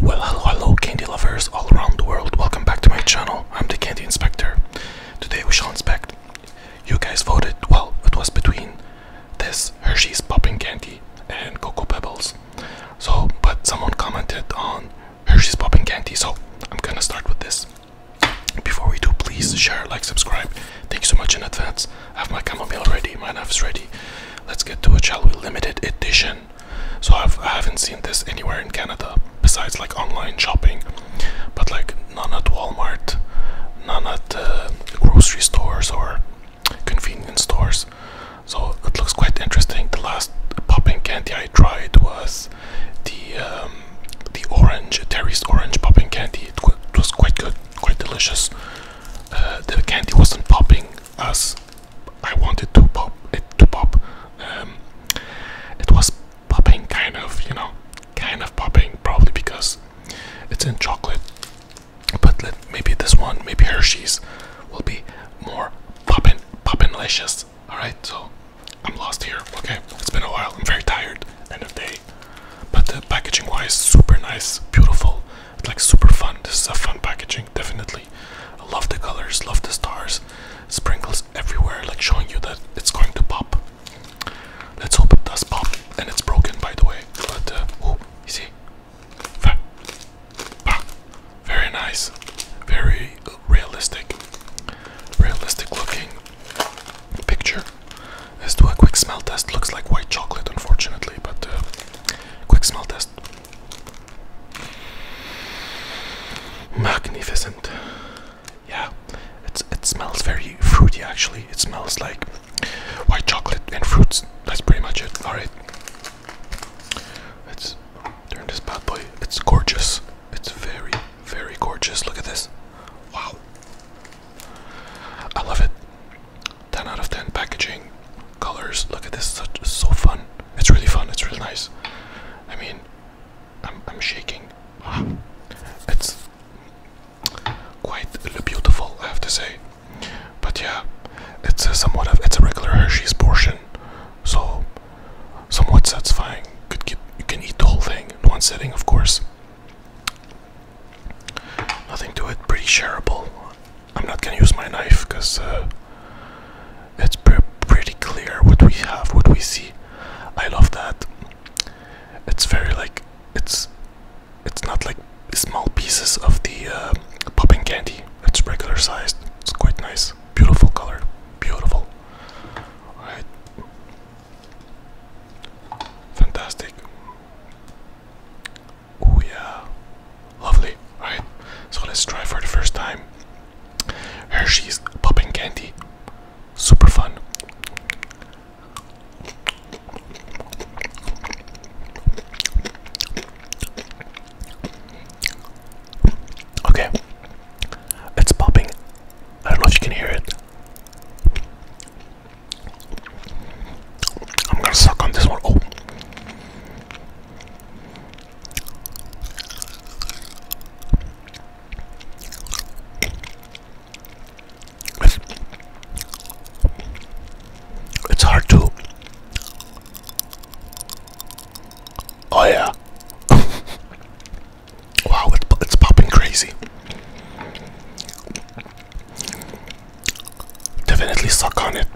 Well hello hello candy lovers all around the world, welcome back to my channel, I'm the Candy Inspector. Today we shall inspect. You guys voted, well it was between this Hershey's Popping Candy and Cocoa Pebbles. So, but someone commented on Hershey's Popping Candy, so I'm gonna start with this. Before we do, please share, like, subscribe. Thank you so much in advance. I have my chamomile ready, my knife is ready. Let's get to a shall we? Limited edition. So I've, I have not seen this anywhere in Canada besides like online shopping, but like none at Walmart, none at uh, grocery stores or convenience stores. So it looks quite interesting. The last popping candy I tried was the um, the orange Terry's orange popping candy. it was quite good, quite delicious. Uh, the candy wasn't popping as I wanted to pop it to pop. Um, it was popping kind of, you know, kind of popping probably because it's in chocolate. But maybe this one, maybe Hershey's, will be more popping, popping delicious. All right, so I'm lost here. Okay, it's been a while. I'm very tired at the end of the day. But the packaging wise, super nice, beautiful, like super fun. This is a fun packaging, definitely. love the colors, love the stars, sprinkles everywhere, like showing you that it's going to pop. Let's hope it does pop. And it's broken, by the way. But uh, oh, you see, very nice, very realistic, realistic looking picture. Let's do a quick smell test. Looks like white chocolate, unfortunately, but uh, quick smell test. Magnificent. Yeah, it's, it smells very fruity actually. It smells like white chocolate and fruits. That's pretty much it. Alright. Let's turn this bad boy. It's gorgeous. It's very, very gorgeous. Look at this. Wow. I love it. 10 out of 10 packaging, colors. Look at this, so fun. It's really fun. It's really nice. I mean, I'm shaking. It's quite beautiful, I have to say. But yeah, it's somewhat of it's a regular Hershey's portion. So somewhat satisfying. Could get you can eat the whole thing in one sitting, of course. Nothing to it. Pretty shareable. I'm not gonna use my knife because uh, it's pretty clear what we have, what we see. I love that. It's very like it's it's not like small pieces of the uh, popping candy. It's regular sized. It's quite nice beautiful color, beautiful. All right, fantastic. Oh yeah, lovely. All right, so let's try for the first time. Hershey's popping candy, super fun. Okay, it's popping. I don't know if you can hear it. I'm gonna suck on this one. Oh. It's, it's hard to Oh yeah. wow, it's popping crazy. Definitely suck on it.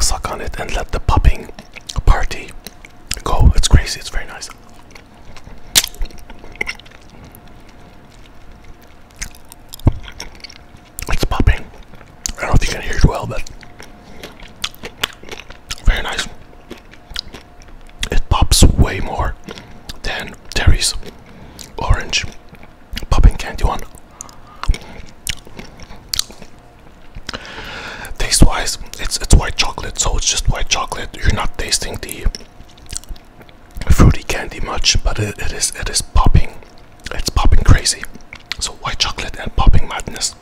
Suck on it and let the popping party go. It's crazy, it's very nice. It's popping. I don't know if you can hear it well, but very nice. It pops way more than Terry's orange popping candy one. Taste wise, it's it's white chocolate, so it's just white chocolate. You're not tasting the fruity candy much, but it, it is it is popping it's popping crazy. So white chocolate and popping madness.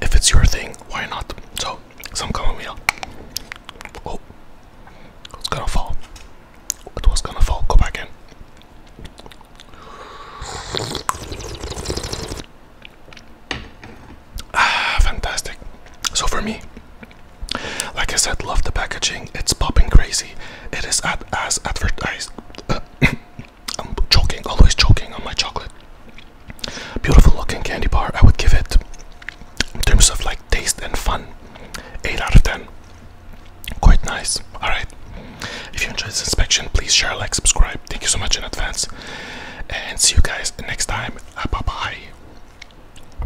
If it's your thing, why not? So some chamomile. Oh, it's gonna fall. It was gonna fall. Go back in. Ah, fantastic. So for me, like I said, love the packaging. It's popping crazy. It is as advertised. I'm choking, always choking on my chocolate. Beautiful looking candy bar. I would give it, in terms of like taste and fun, 8 out of 10. Quite nice. Alright. If you enjoyed this inspection, please share, like, subscribe. Thank you so much in advance. And see you guys next time. Bye bye.